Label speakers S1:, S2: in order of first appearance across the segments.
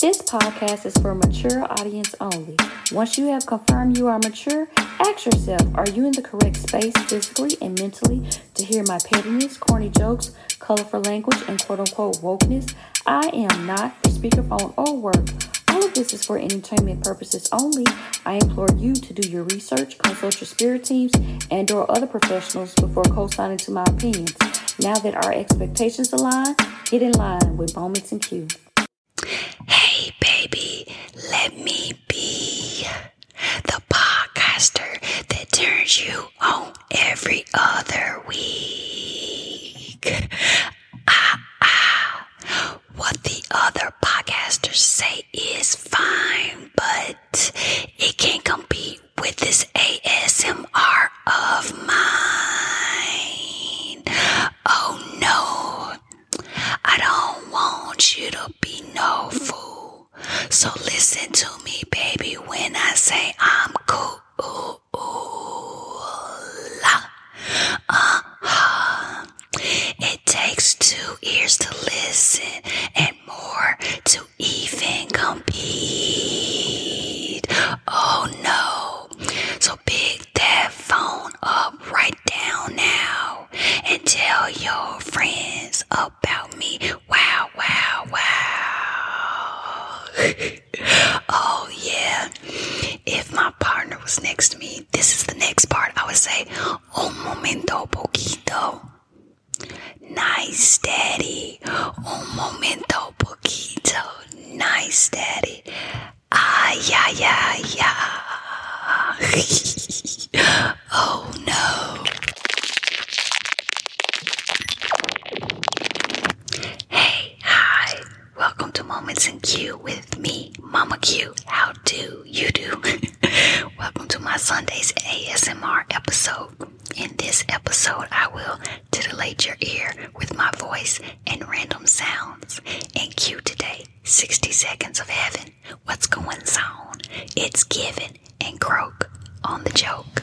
S1: This podcast is for mature audience only. Once you have confirmed you are mature, ask yourself, are you in the correct space physically and mentally to hear my pettiness, corny jokes, colorful language, and quote unquote wokeness? I am not for speakerphone or work. All of this is for entertainment purposes only. I implore you to do your research, consult your spirit teams and or other professionals before co-signing to my opinions. Now that our expectations align, Get in line with Moments and Q. Hey, baby, let me be
S2: the podcaster that turns you on every other week. Ah, ah. What the other podcasters say is fine, but it can't compete with this ASMR of mine. Oh no, I don't want you to be no fool. So listen to me, baby, when I say I'm cool. Uh-huh. It takes two ears to listen and more to even compete. Oh no. So pick that phone up right down now and tell your friends about me. Wow, wow, wow. oh yeah. If my partner was next to me, this is the next part. I would say, un momento poquito. Nice daddy. Un momento, poquito. Nice daddy. Ay, ay, ay, ay. oh no. Hey, hi. Welcome to Moments in Q with me, Mama Q. How do you do? Welcome to my Sunday's ASMR episode. In this episode, I will to delight your ear with my voice and random sounds. And cue today 60 seconds of heaven. What's going on? It's given and croak on the joke.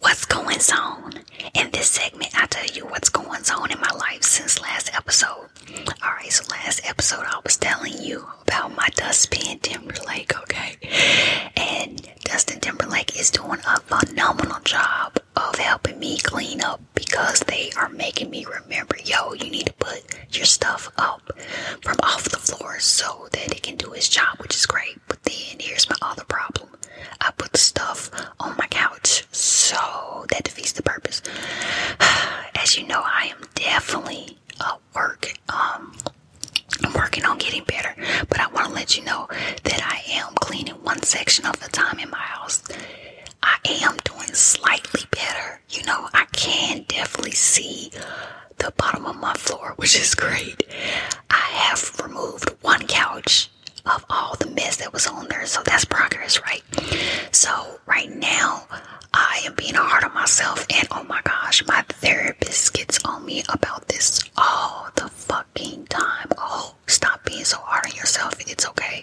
S2: What's going on? In this segment, I tell you what's going on in my life since last episode. Alright, so last episode I was telling you about my Dustin Timberlake, okay? And Dustin Timberlake is doing a phenomenal job of helping me clean up because they are making me remember yo, you need to put your stuff up from off the floor so that it can do its job, which is great. But then here's my other problem I put the stuff on my couch, so that defeats the purpose. As you know, I am definitely a work, um, I'm working on getting better, but I want to let you know that I am cleaning one section of the time in my house. I am doing slightly better. You know, I can definitely see the bottom of my floor, which is great. I have removed one couch of all the mess that was on there, so that's progress, right? So, right now, I am being hard on myself, and oh my gosh, my therapist gets on me about this all the fucking time. Oh, stop being so hard on yourself, it's okay.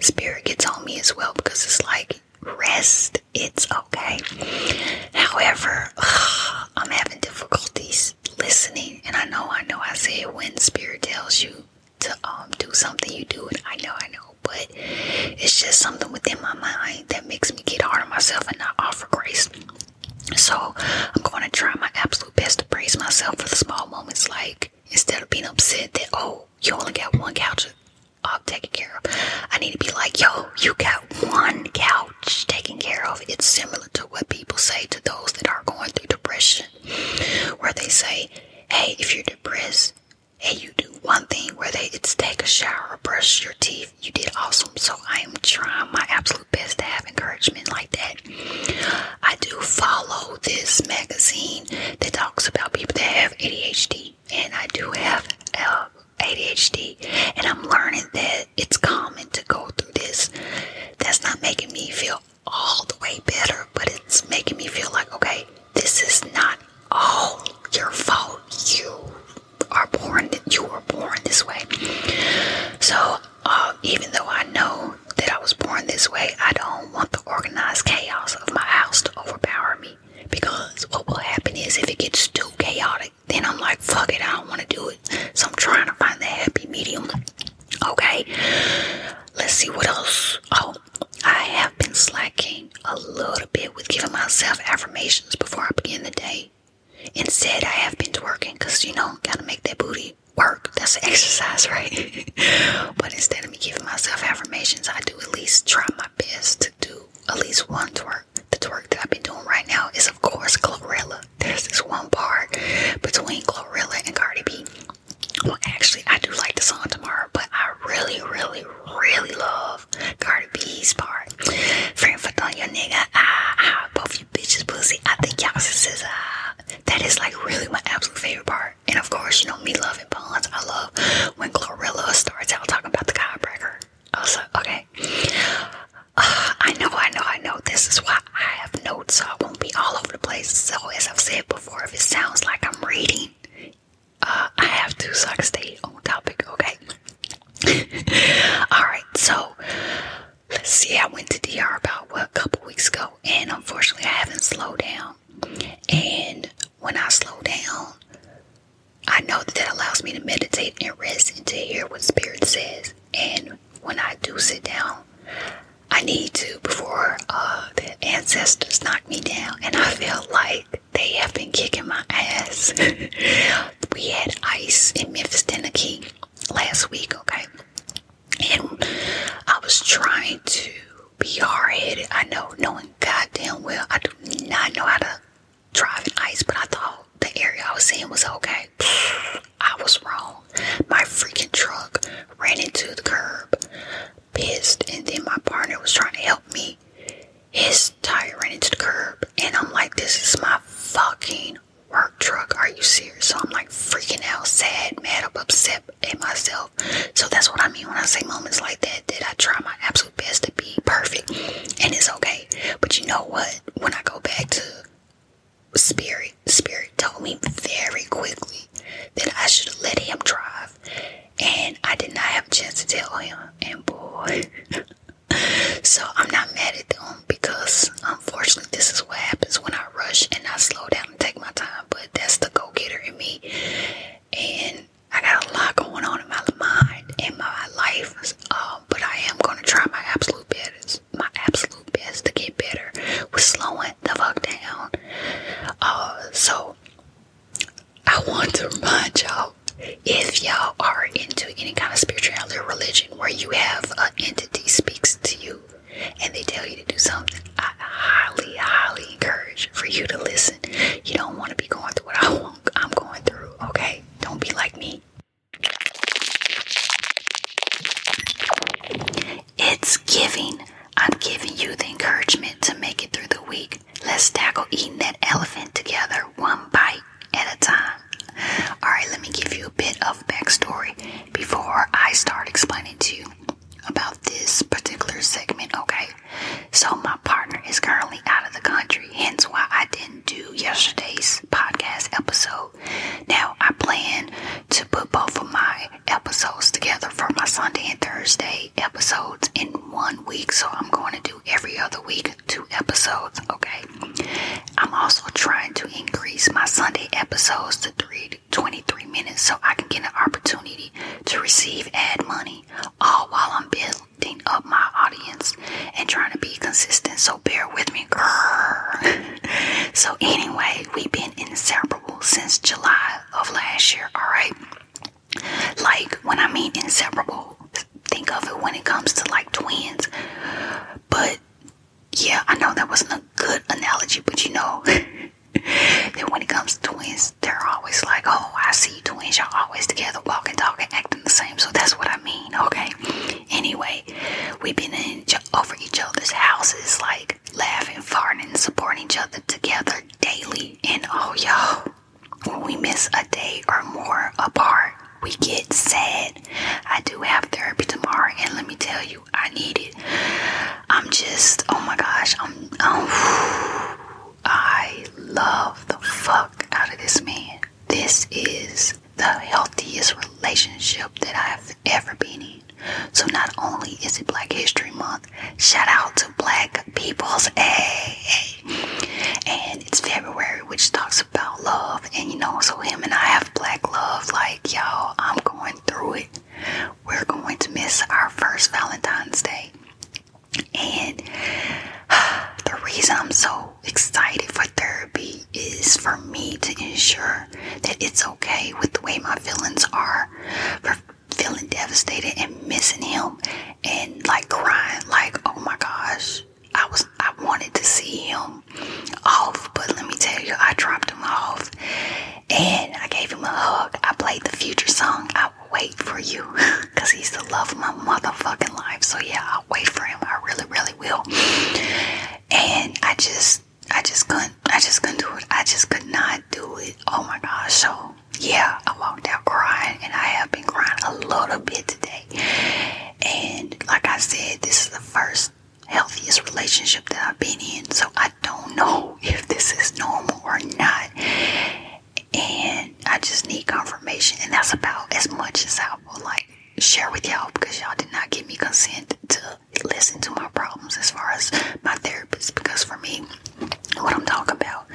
S2: Spirit gets on me as well because it's like, rest, it's okay. However, I'm having difficulties listening, and I know, I know, I said when Spirit tells you to um do something, you do it. I know, I know, but it's just something within my mind that makes me get hard on myself and not offer grace. So I'm going to try my absolute best to praise myself for the small moments, like instead of being upset that oh you only got one couch um, taken care of. I need to be like, yo, you got one couch taken care of. It's similar to what people say to those that are going through depression, where they say, hey, if you're depressed, hey, you do one thing, Where they, it's take a shower, brush your teeth, you did awesome. So I am trying my absolute best to have encouragement like that. I do follow this magazine that talks about people that have ADHD, and I do have uh, ADHD, and I'm learning that it's common to go through this. That's not making me feel all the way better, but it's making me feel like, okay, this is not all your fault. You are born, you were born this way. So, uh, even though I know that I was born this way, I don't want the organized chaos of my house to overpower me. Because what will happen is if it gets too chaotic, then I'm like, fuck it, I don't want to do it. So I'm trying to find the happy medium. Okay, let's see what else. Oh, I have been slacking a little bit with giving myself affirmations before I begin the day. Instead, I have been twerking because you know, gotta make that booty work. That's exercise, right? but instead of me giving myself affirmations, I do at least try my best to do at least one twerk. The twerk that I've been doing right now is, of course, Glorilla. There's this one part between Glorilla and Cardi B. Well, actually, I do like the song tomorrow, but I really, really, really love Cardi B's part. Frankfurt on your nigga, ah, ah, both you bitches pussy, I think y'all should ah. That is like really my absolute favorite part. And of course, you know me loving puns. I love when Glorilla starts out talking about the chiropractor. I was like, okay. Ah, I know, I know, I know. This is why I have notes, so I won't be all over the place. So as I've said before, if it sounds like I'm reading, uh, I have to so stay on topic, okay? Alright, so let's see. I went to DR about what a couple weeks ago and unfortunately, I haven't slowed down. And when I slow down, I know that that allows me to meditate and rest and to hear what Spirit says. And when I do sit down, I need to before uh, the ancestors knock me down. And I feel like they have been kicking my ass. we had ice in Memphis, last week, okay? And I was trying to be hard headed. I know, knowing goddamn well, I do not know how to drive in ice, but I thought the area I was in was okay. I was wrong. My freaking truck ran into the curb, pissed, and then my partner was trying to help me. His tire ran into the curb, and I'm like, this is my fucking work truck. Are you serious? So I'm like freaking out, sad, mad, up, upset, and myself. So that's what I mean when I say moments like that, that I try my absolute best to be perfect and it's okay. But you know what? When I go back to Spirit, Spirit told me very quickly that I should have let him drive. And I did not have a chance to tell him. And boy. so I'm not mad at them because unfortunately this is what happens when I rush and I slow down I'm take my time, but that's the go getter in me. And I got a lot going on in my mind and my life, um, but I am gonna try my absolute best, my absolute best to get better with slowing the fuck down. Uh, so I want to remind y'all if y'all are into any kind of spirituality or religion where you have an entity speaks to you and they tell you to do something, I highly, highly encourage for you to listen. You don't want to be going through what I want, I'm going through, okay? Don't be like me. It's giving. I'm giving you the encouragement to make it through the week. Let's tackle eating that elephant together, one bite at a time. All right, let me give you a bit of backstory before I start explaining to you about this particular segment, okay? So, my partner is currently out of the country, hence why I didn't do yesterday's podcast episode. Now, I plan to put both of my episodes together for my Sunday and Thursday episodes in one week, so I'm going to do every other week two episodes, okay? I'm also trying to increase my Sunday episodes to three 23 minutes so I can get an opportunity to receive ad money, all while I'm building up my audience and trying to be consistent. So bear with me, girl. so anyway, we've been inseparable since July of last year. All right, like when I mean inseparable, think of it when it comes to like twins, but yeah, I know that wasn't a good analogy, but you know that when it comes to twins, they're always like, oh, I see twins, y'all always together, walking, talking, acting the same. So that's what I mean, okay? Anyway, we've been in over each other's houses, like laughing, farting, supporting each other together daily. And oh, y'all, when we miss a day or more apart, we get sad. I do have therapy tomorrow, and let me tell you, I need it. I'm just, oh my gosh, I'm, oh, I love the fuck out of this man. This is the healthiest relationship that I've ever been in. So not only is it Black History Month, shout out to Black people's, a, and it's February, which talks about love and you know, so him and I have black love. Like, y'all, I'm going through it. We're going to miss our first Valentine's Day. And the reason I'm so excited for therapy is for me to ensure that it's okay with the way my feelings are, for feeling devastated and missing him and like crying, like, oh my gosh, I was I wanted to see him off, but let me tell you, I dropped him off and I gave him a hug. I played the future song, I will wait for you. Cause he's the love of my motherfucking life. So yeah, I'll wait for him. I really, really will. And I just I just couldn't I just couldn't do it. I just could not do it. Oh my god! So yeah, I walked out crying and I have been crying a little bit today. And like I said, this is the first healthiest relationship that I've been in. So I don't know if this is normal or not. And I just need confirmation. And that's about as much as I will like share with y'all because y'all did not give me consent to listen to my problems as far as my therapist. Because for me, what I'm talking about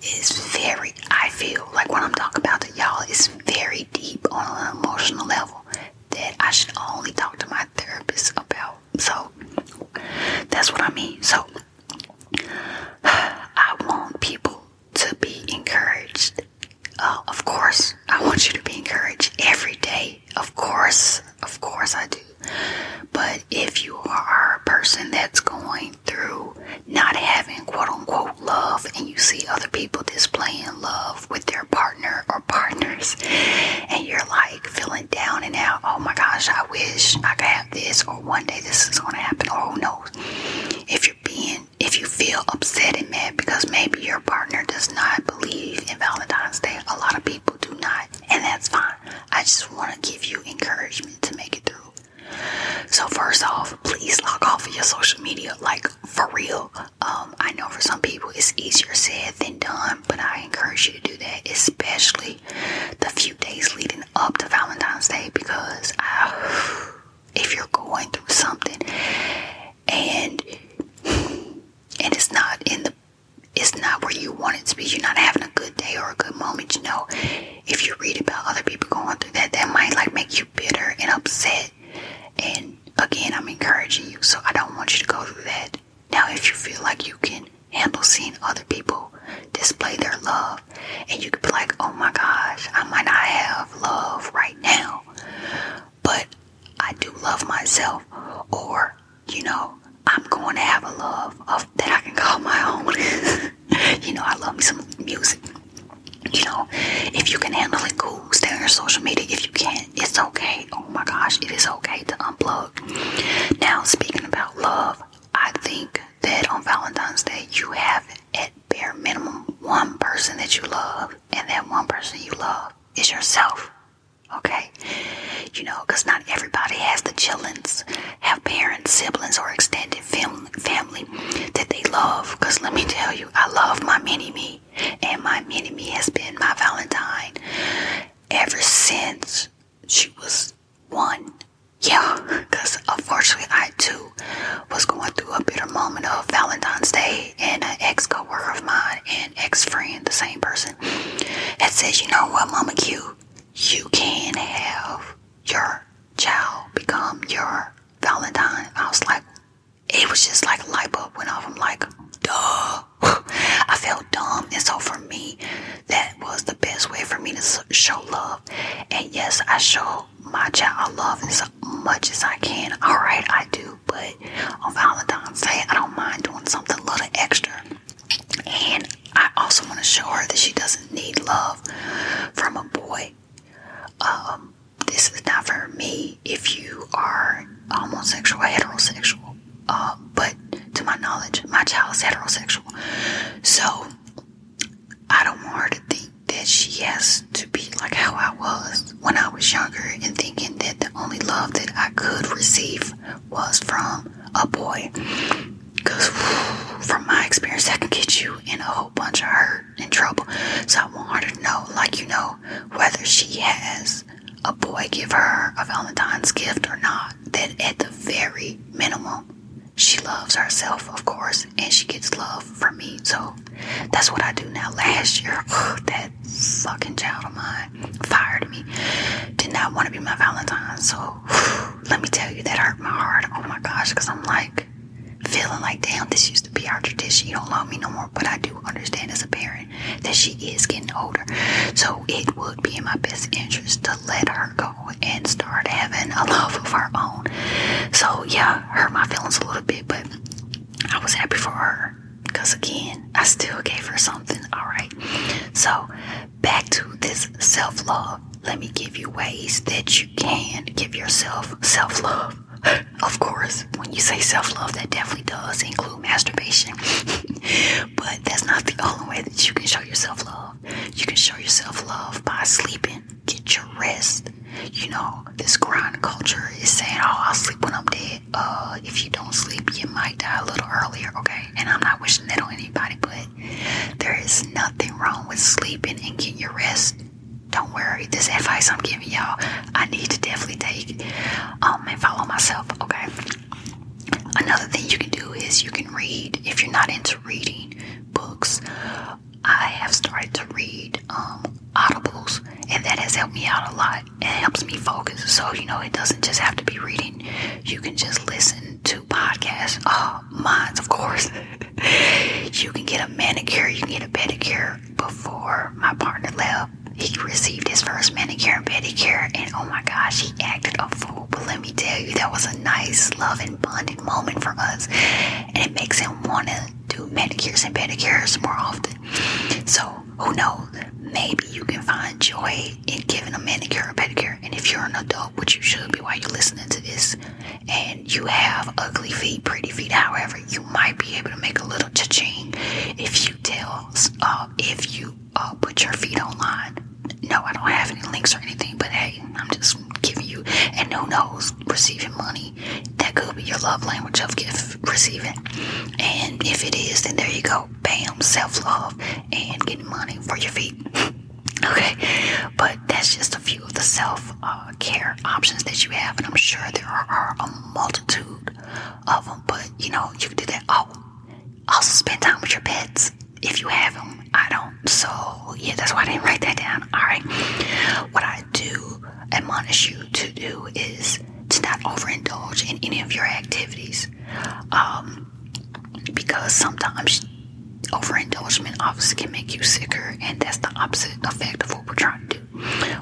S2: is very, I feel like what I'm talking about to y'all is very deep on an emotional level that I should only talk to my therapist about. So that's what I mean. So I want people to be encouraged. Uh, of course, I want you to be encouraged every day. Of course, of course, I do. But if you are a person that's going through not having quote unquote love and you see other people displaying love, with their partner or partners, and you're like feeling down and out. Oh my gosh, I wish I could have this, or one day this is going to happen. or who knows. If you're being, if you feel upset and mad because maybe your partner does not believe in Valentine's Day, a lot of people do not, and that's fine. I just want to give you encouragement to make it through. So, first off, please log off of your social media. Like, for real. Um, I know for some people it's easier said than done, but I encourage you to do that, especially the few days leading up to Valentine's Day, because ah, if you're going through something and and it's not in the it's not where you wanted to be. You're not having a good day or a good moment. You know, if you read about other people going through that, that might like make you bitter and upset and again, I'm encouraging you, so I don't want you to go through that. Now, if you feel like you can handle seeing other people display their love, and you could be like, oh my gosh, I might not have love right now, but I do love myself, or you know, I'm going to have a love of that I can call my own. you know, I love me some music. You know, if you can handle it, cool. Stay on your social media. If you can't, it's okay. Oh my gosh, it is okay to unplug. Now, speaking about love, I think that on Valentine's Day, you have at bare minimum one person that you love, and that one person you love is yourself. Okay? You know, because not everybody has the chillings, have parents, siblings, or extended family family that they love. Cause let me tell you, I love my mini me, and my mini me has been my Valentine ever since she was one. Yeah, because unfortunately, I too was going through a bitter moment of Valentine's Day, and an ex co worker of mine and ex friend, the same person, that says, You know what, Mama Q, you can have your child become your Valentine. I was like, it was just like a light bulb went off. I'm like, duh. I felt dumb. And so for me, that was the best way for me to show love. And yes, I show my child love as much as I can. All right, I do. But on Valentine's Day, I don't mind doing something a little extra. And I also want to show her that she doesn't need love from a boy. Um, this is not for me if you are homosexual heterosexual. Uh, but to my knowledge, my child is heterosexual. So I don't want her to think that she has to be like how I was when I was younger and thinking that the only love that I could receive was from a boy. Because from my experience, I can get you in a whole bunch of hurt. In trouble. So I want her to know, like you know, whether she has a boy give her a Valentine's gift or not. That at the very minimum, she loves herself, of course, and she gets love from me. So that's what I do now. Last year, that fucking child of mine fired me. Did not want to be my Valentine. So let me tell you, that hurt my heart. Oh my gosh, because I'm like, feeling like, damn, this used to be our tradition. You don't love me no more. But I do understand as a parent that she is getting older. So it would be in my best interest to let her go and start having a love of her own. So yeah, hurt my feelings a little bit, but I was happy for her. Because again, I still gave her something. All right. So back to this self love let me give you ways that you can give yourself self love. Of course, when you say self love, that definitely does include masturbation. but that's not the only way that you can show yourself love. You can show yourself love by sleeping, get your rest. You know, this grind culture is saying, oh, I'll sleep when I'm dead. Uh, if you don't sleep, you might die a little earlier, okay? And I'm not wishing that on anybody, but there is nothing wrong with sleeping and getting your rest. Don't worry. This advice I'm giving y'all, I need to definitely take um, and follow myself, okay? Another thing you can do is you can read if you're not into reading books. I have started to read um, audibles, and that has helped me out a lot. It helps me focus. So, you know, it doesn't just have to be reading, you can just listen to to podcasts, uh, oh, mine, of course. you can get a manicure, you can get a pedicure. Before my partner left, he received his first manicure and pedicure, and oh my gosh, he acted a fool. But let me tell you, that was a nice, loving, bonding moment for us, and it makes him want to do manicures and pedicures more often. So, who knows? Maybe you can find joy in giving a manicure or pedicure. And if you're an adult, which you should be while you're listening to this, and you have ugly feet, pretty feet, however, you might be able to make a little cha-ching if you tell, uh, if you uh, put your feet online. No, I don't have any links or anything, but hey, I'm just giving you, and who knows, receiving money, that could be your love language of gift receiving. And if it is, then there you go. Bam, self love and getting money for your feet. Okay, but that's just a few of the self care options that you have, and I'm sure there are, a multitude of them. But you know, you can do that. Oh, also spend time with your pets if you have them. I don't, so yeah, that's why I didn't write that down. All right, what I do admonish you to do is to not overindulge in any of your activities, um, because sometimes Overindulgement obviously can make you sicker, and that's the opposite effect of what we're trying to do.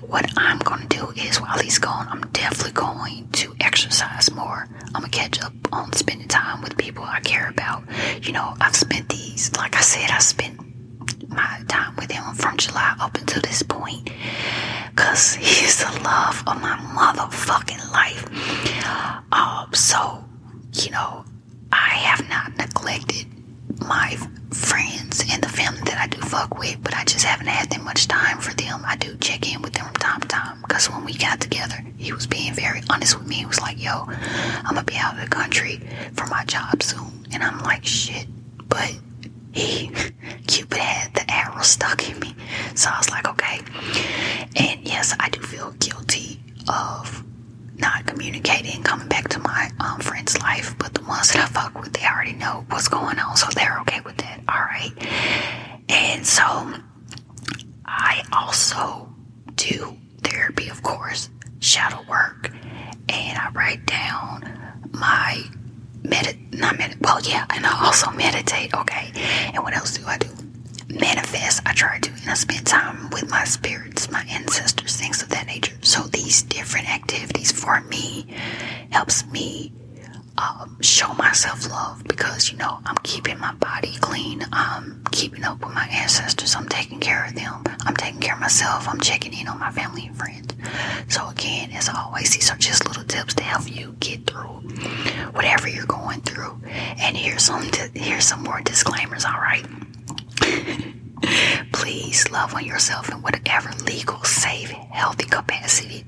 S2: What I'm going to do is while he's gone, I'm definitely going to exercise more. I'm going to catch up on spending time with people I care about. You know, I've spent these, like I said, I spent my time with him from July up until this point because he's the love of my motherfucking life. Um, so, you know, I have not neglected my friends and the family that I do fuck with, but I just haven't had that much time for them. I do check in with them from time to time because when we got together, he was being very honest with me. He was like, yo, I'm gonna be out of the country for my job soon. And I'm like, shit. But he, Cupid had the arrow stuck in me. So I was like, okay. And yes, I do feel guilty of not communicating, coming back to my um, friend's life, but the ones that I fuck with, they already know what's going on, so they're okay with it. All right. And so I also do therapy, of course, shadow work, and I write down my medit not medit well yeah, and I also meditate, okay. And what else do I do? manifest. I try to, and I spend time with my spirits, my ancestors, things of that nature. So these different activities for me helps me um, show myself love because you know I'm keeping my body clean. I'm keeping up with my ancestors. I'm taking care of them. I'm taking care of myself. I'm checking in on my family and friends. So again, as always, these are just little tips to help you get through whatever you're going through. And here's some here's some more disclaimers. All right. Please love on yourself in whatever legal, safe, healthy capacity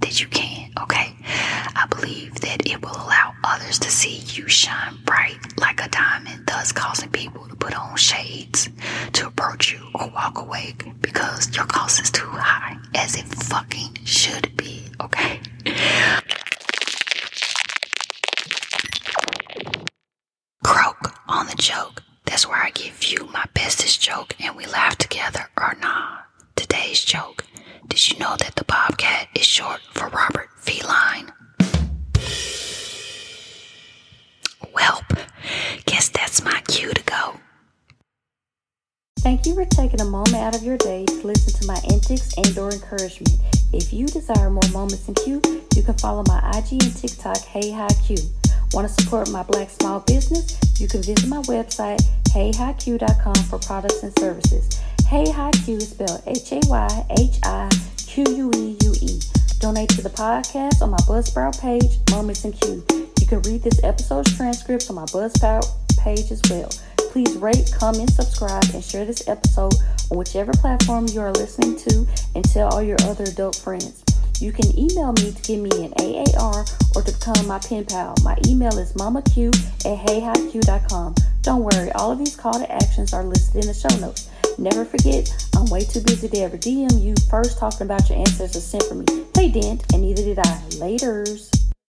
S2: that you can, okay? I believe that it will allow others to see you shine bright like a diamond, thus causing people to put on shades to approach you or walk away because your cost is too high, as it fucking should be, okay? Croak on the joke. That's where I give you my bestest joke and we laugh together or not. Today's joke. Did you know that the Bobcat is short for Robert Feline? Welp, guess that's my cue to go.
S1: Thank you for taking a moment out of your day to listen to my antics and or encouragement. If you desire more moments in Q, you can follow my IG and TikTok, Hey Hi Q. Want to support my black small business? You can visit my website, heyhiq.com for products and services. Hey Hi Q is spelled H-A-Y-H-I-Q-U-E-U-E. Donate to the podcast on my Buzzsprout page, Moments in Q. You can read this episode's transcripts on my Buzzsprout page as well. Please rate, comment, subscribe, and share this episode on whichever platform you are listening to and tell all your other adult friends. You can email me to give me an AAR or to become my pen pal. My email is mamaq at heyhiq.com. Don't worry, all of these call to actions are listed in the show notes. Never forget, I'm way too busy to ever DM you first talking about your ancestors sent for me. They didn't, and neither did I. Laters.